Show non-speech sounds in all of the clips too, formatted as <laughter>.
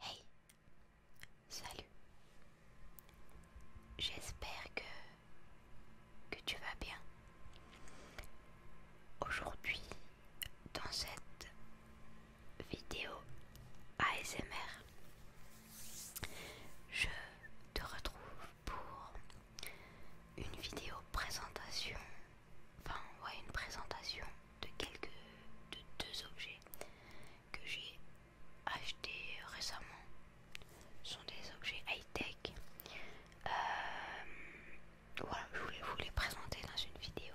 Hey, salut. J'espère que tu vas bien. Aujourd'hui, dans cette vidéo ASMR, je te retrouve pour une vidéo présentation enfin voit une présentation de quelques de deux objets que j'ai achetés récemment. Ce sont des objets high-tech. Euh, voilà, je voulais vous les présenter dans une vidéo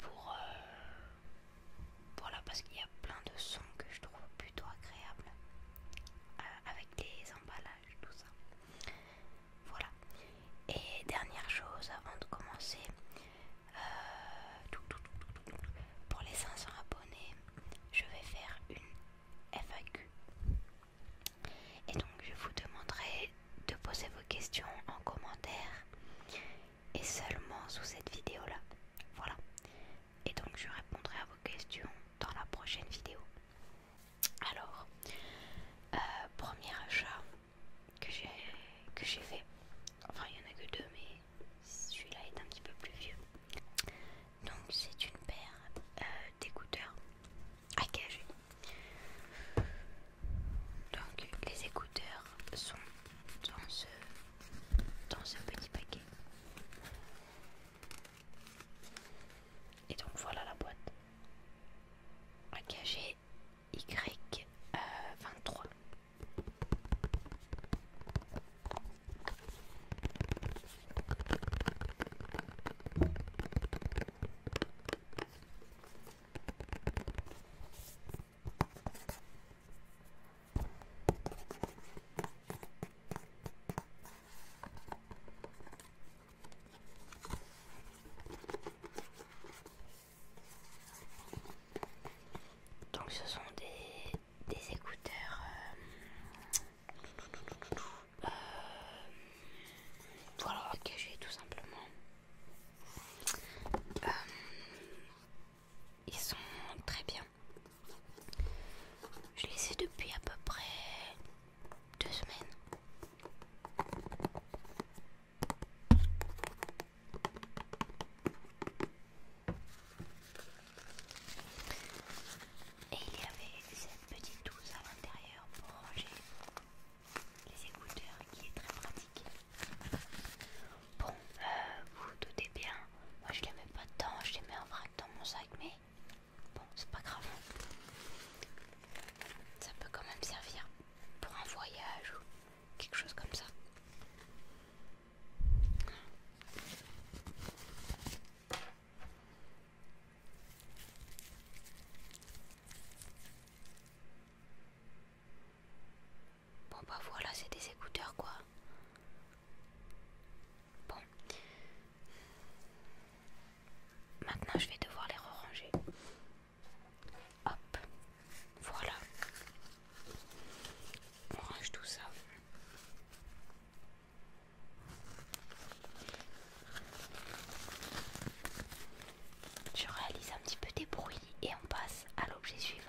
pour euh, voilà parce qu'il y a plein de sons que je trouve plutôt agréables euh, avec des emballages tout ça. Voilà. Et dernière chose avant de commencer, euh, pour les 500 abonnés, je vais faire une FAQ. Et donc je vous demanderai de poser vos questions en commentaire et seulement sous cette vidéo là. Voilà. Et donc je répondrai à vos questions dans la prochaine vidéo. Alors, euh, premier achat, que j'ai que j'ai fait. Enfin, il y en a que deux, mais celui-là est un petit peu plus vieux. Donc, c'est une paire euh, d'écouteurs à Donc, les écouteurs sont dans ce dans ce petit paquet. Et donc voilà la boîte à cacher y23. Donc ce sont des, écouteurs voilà que j'ai tout simplement. Euh, ils sont très bien. Je les ai depuis à peu près deux semaines. Et il y avait cette petite douce à l'intérieur pour ranger les écouteurs qui est très pratique. Bon, euh, vous, vous doutez bien, moi je les mets pas dedans, je les mets en vrac dans mon sac, mais bon, c'est pas grave. Ça peut quand même servir pour un voyage quelque chose comme ça. Bon bah voilà, c'est des écouteurs quoi. Bon. Maintenant je vais devoir les ranger. Hop, voilà. range tout ça. Je réalise un petit peu des bruits et on passe à l'objet suivant.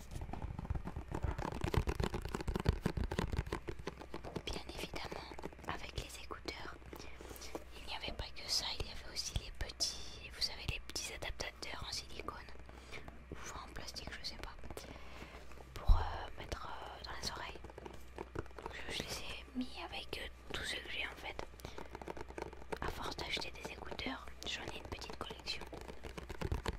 Bien évidemment, avec les écouteurs, il n'y avait pas que ça, il y avait aussi les petits, vous savez, les petits adaptateurs en silicone ou en plastique, je sais pas, pour euh, mettre euh, dans les oreilles. je, les ai mis avec euh, tout ce que j'ai en fait. À force d'acheter des écouteurs, j'en ai une petite collection.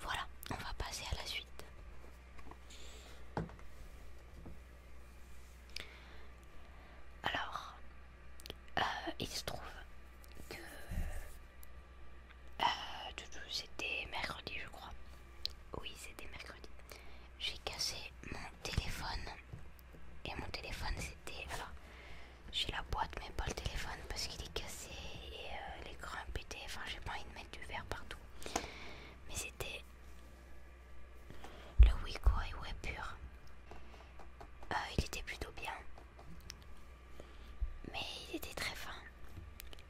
Voilà, on va passer à la suite. Alors, euh, il se trouve que euh, c'était mercredi, je crois. Oui, c'était mercredi. J'ai cassé mon téléphone. Et mon téléphone, c'était. Alors, j'ai la boîte, mais pas le téléphone parce qu'il est cassé et euh, l'écran pété. Enfin, j'ai pas envie de du verre partout. Mais c'était le Wiko ouais pur. Euh, il était plutôt bien. Mais il était très fin.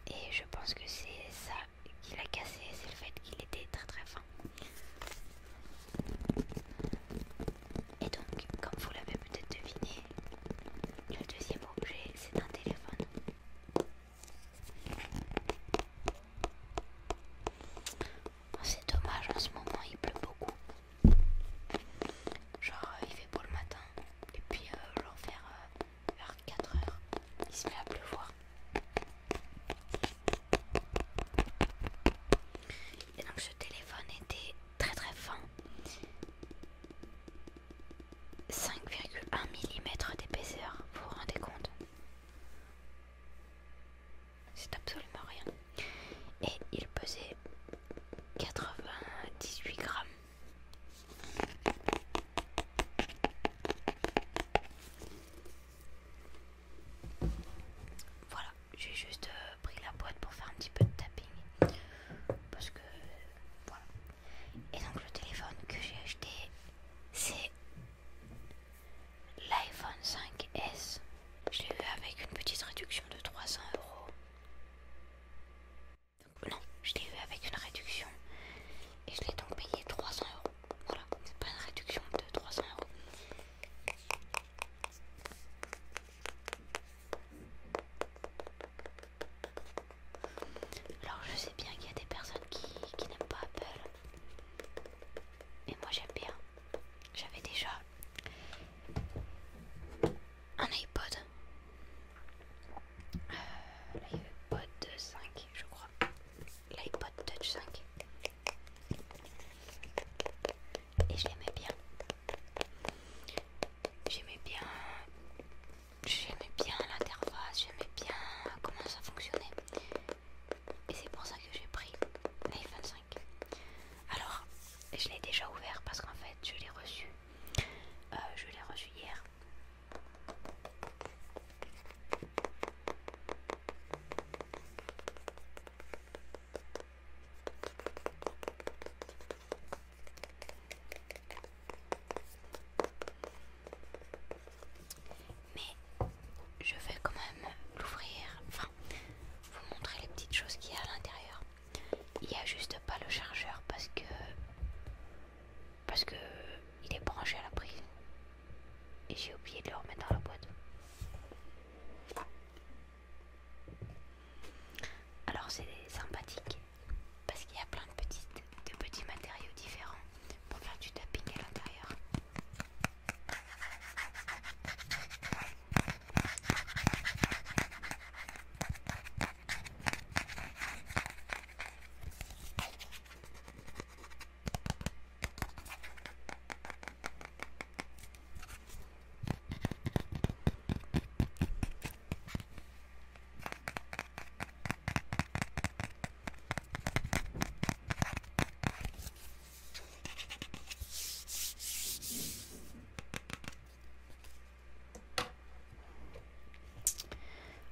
Et je pense que c'est ça qui l'a cassé, c'est le fait qu'il était très très fin. Et donc, comme vous l'avez peut-être deviné, le deuxième objet, c'est un téléphone. Oh, c'est dommage, en ce moment il pleut beaucoup. Genre euh, il fait beau le matin et puis euh, vers, 4 euh, h il se met à pleuvoir. Et donc ce téléphone était très très fin 5,1 mm d'épaisseur, vous vous rendez compte C'est absolument rien. Et il pesait 98 grammes. Voilà, j'ai juste euh, pris la boîte pour faire un petit peu de tapping. Parce que, voilà. Et donc le téléphone que j'ai acheté, c'est l'iPhone 5S. Je l'ai eu avec une petite réduction de 300 euros. Non, je l'ai eu avec une réduction. Et je l'ai donc payé 300 euros. Voilà, c'est pas une réduction de 300 euros. Alors je sais bien qu'il y a des personnes qui, n'aiment pas Apple. Mais moi j'aime bien. J'avais déjà un iPod. Euh, L'iPod 5 je crois. L'iPod Touch 5. Et je l'aimais bien. J'aimais bien j'aimais bien l'interface, j'aimais bien comment ça fonctionnait. Et c'est pour ça que j'ai pris l'iPhone 5. Alors, je l'ai déjà ouvert parce qu'en fait, je l'ai reçu. Euh, je l'ai reçu hier. Mais je vais quand même l'ouvrir, enfin vous montrer les petites choses qu'il y a à l'intérieur. Il n'y a juste pas le chargeur parce que parce que il est branché à la prise et j'ai oublié de le remettre dans la boîte. Alors c'est sympathique parce qu'il y a plein de, petites, de petits matériaux différents pour faire du tapping à l'intérieur.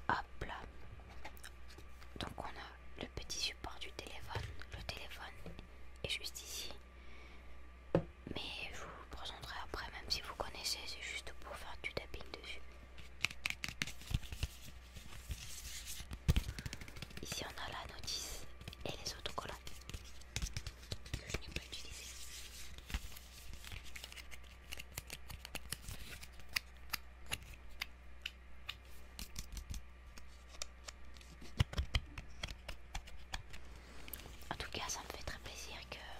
Hop là. Donc on a le petit support du téléphone. Le téléphone est juste ici. Mais je vous le présenterai après, même si vous connaissez, c'est juste pour faire du tapping dessus. Ici on a la notice et les autocollants que je n'ai pas utilisé. En tout cas, ça me fait très plaisir que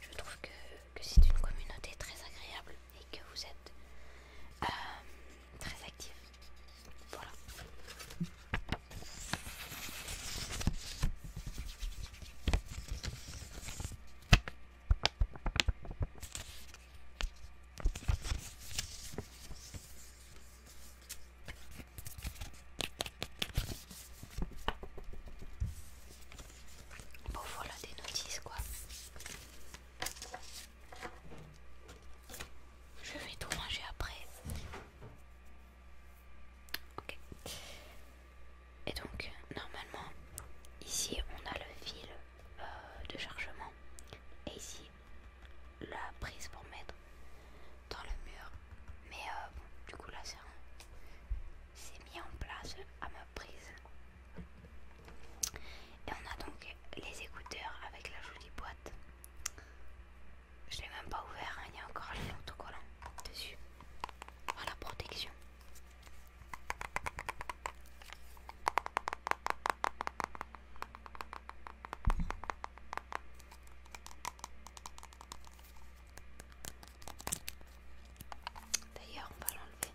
Je trouve que, c'est une communauté très agréable et que vous êtes euh, très actifs. Voilà. Bon voilà des notices quoi. Je vais tout manger après. Ok. Et donc normalement ici on a le fil euh, de chargement et ici la prise pour mettre dans le mur. Mais euh, du coup là c'est un c'est mis en place à ma prise. Et on a donc les écouteurs avec la jolie boîte. Je l'ai même pas ouvert, hein, il y a encore l'autocollant dessus. Oh, la protection. D'ailleurs, on va l'enlever.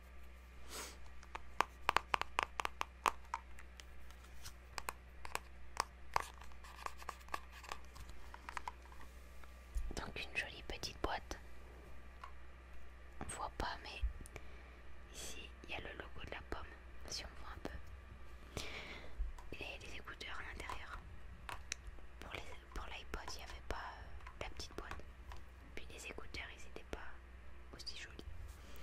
Donc une jolie petite boîte. On voit pas mais ici il y a le logo de la pomme si on voit un peu. Et les écouteurs à l'intérieur. Pour l'iPod il n'y avait pas euh, la petite boîte. Puis les écouteurs, ils étaient pas aussi jolis.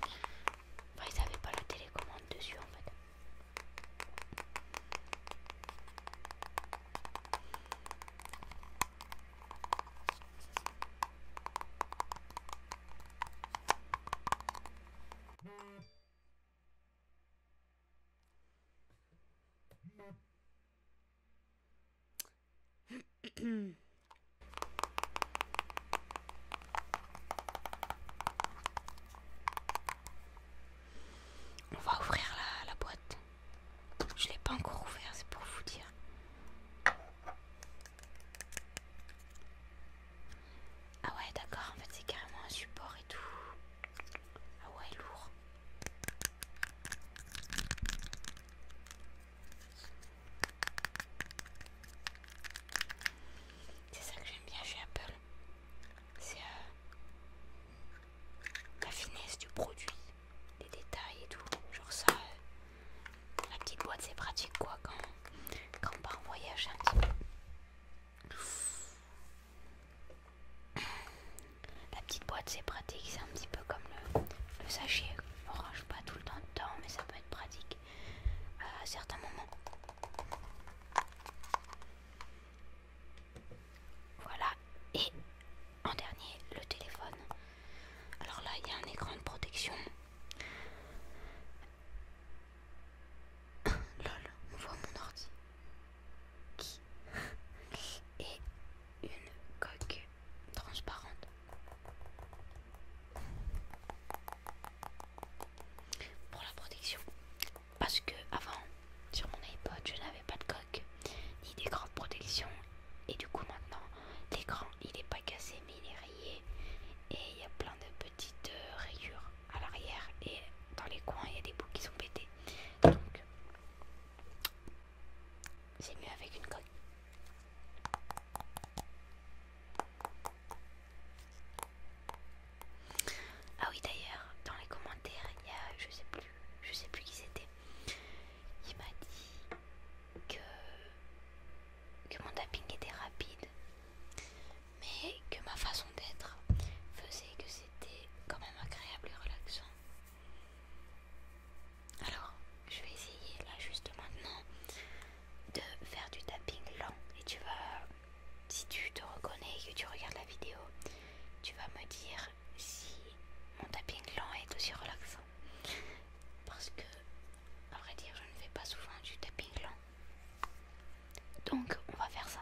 Enfin, ils avaient pas la télécommande dessus en fait. On va ouvrir la, boîte. Je l'ai pas encore ouvert, c'est pour vous dire. Ah ouais, d'accord, en fait c'est carrément un support et tout. Ah ouais, lourd. C'est ça que j'aime bien chez Apple. C'est euh, la finesse du produit, les détails et tout. Genre ça, euh, la petite boîte c'est pratique quoi quand, quand on part en voyage un petit peu. La petite boîte c'est pratique, c'est un petit peu comme le, le sachet orange pas tout le temps de temps, mais ça peut être pratique à certains moments. Voilà, et en dernier, le téléphone. Alors là, il y a un écran de protection. <coughs> Lol, on voit mon ordi. Qui Et une coque transparente. Pour la protection. Parce que avant, sur mon iPod, je n'avais pas de coque ni d'écran de protection. Et du coup maintenant, l'écran il est pas cassé mais il est rayé. Et il y a plein de petites euh, rayures à l'arrière. Et dans les coins, il y a des bouts qui sont pétés. Donc c'est mieux avec une coque. Ah oui d'ailleurs, dans les commentaires, il y a je sais plus, je sais plus qui c'était. Il m'a dit que, que mon tapping était rapide, mais que ma façon d'être faisait que c'était quand même agréable et relaxant. Alors, je vais essayer là juste maintenant de faire du tapping lent et tu vas, si tu te reconnais et que tu regardes la vidéo, tu vas me dire si mon tapping lent est aussi relaxant. Parce que, à vrai dire, je ne fais pas souvent du tapping lent. Donc, on va faire ça.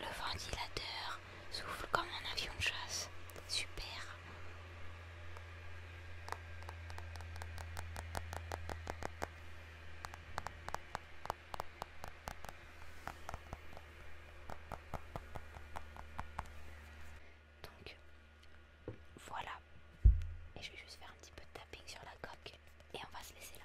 Le ventilateur souffle comme un avion de chasse. Super. Donc voilà. Et je vais juste faire un petit peu de tapping sur la coque et on va se laisser là.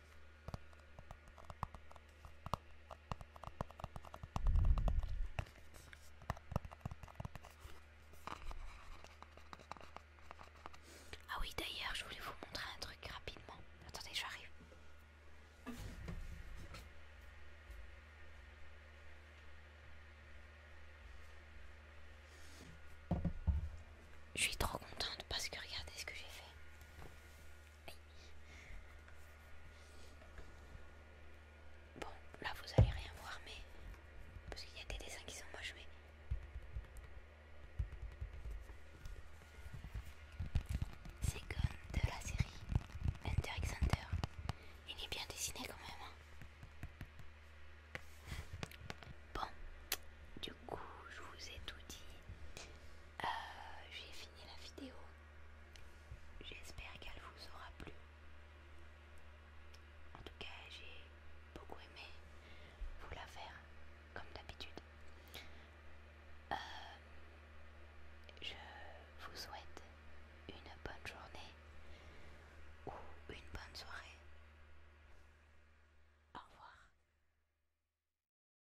Ah oui d'ailleurs je voulais vous montrer un truc rapidement. Attendez j'arrive. Je suis trop contente parce que regardez ce que j'ai fait. Bon, là vous allez rien voir, mais parce qu'il y a des dessins qui sont pas joués c'est comme de la série Hunter x Il est bien dessiné quand même. Hein. bon, du coup, je vous ai tout dit. Euh, j'ai fini la vidéo. J'espère qu'elle vous aura plu. En tout cas, j'ai beaucoup aimé vous la faire, comme d'habitude. Euh, je vous souhaite une bonne journée ou une bonne soirée. Au revoir.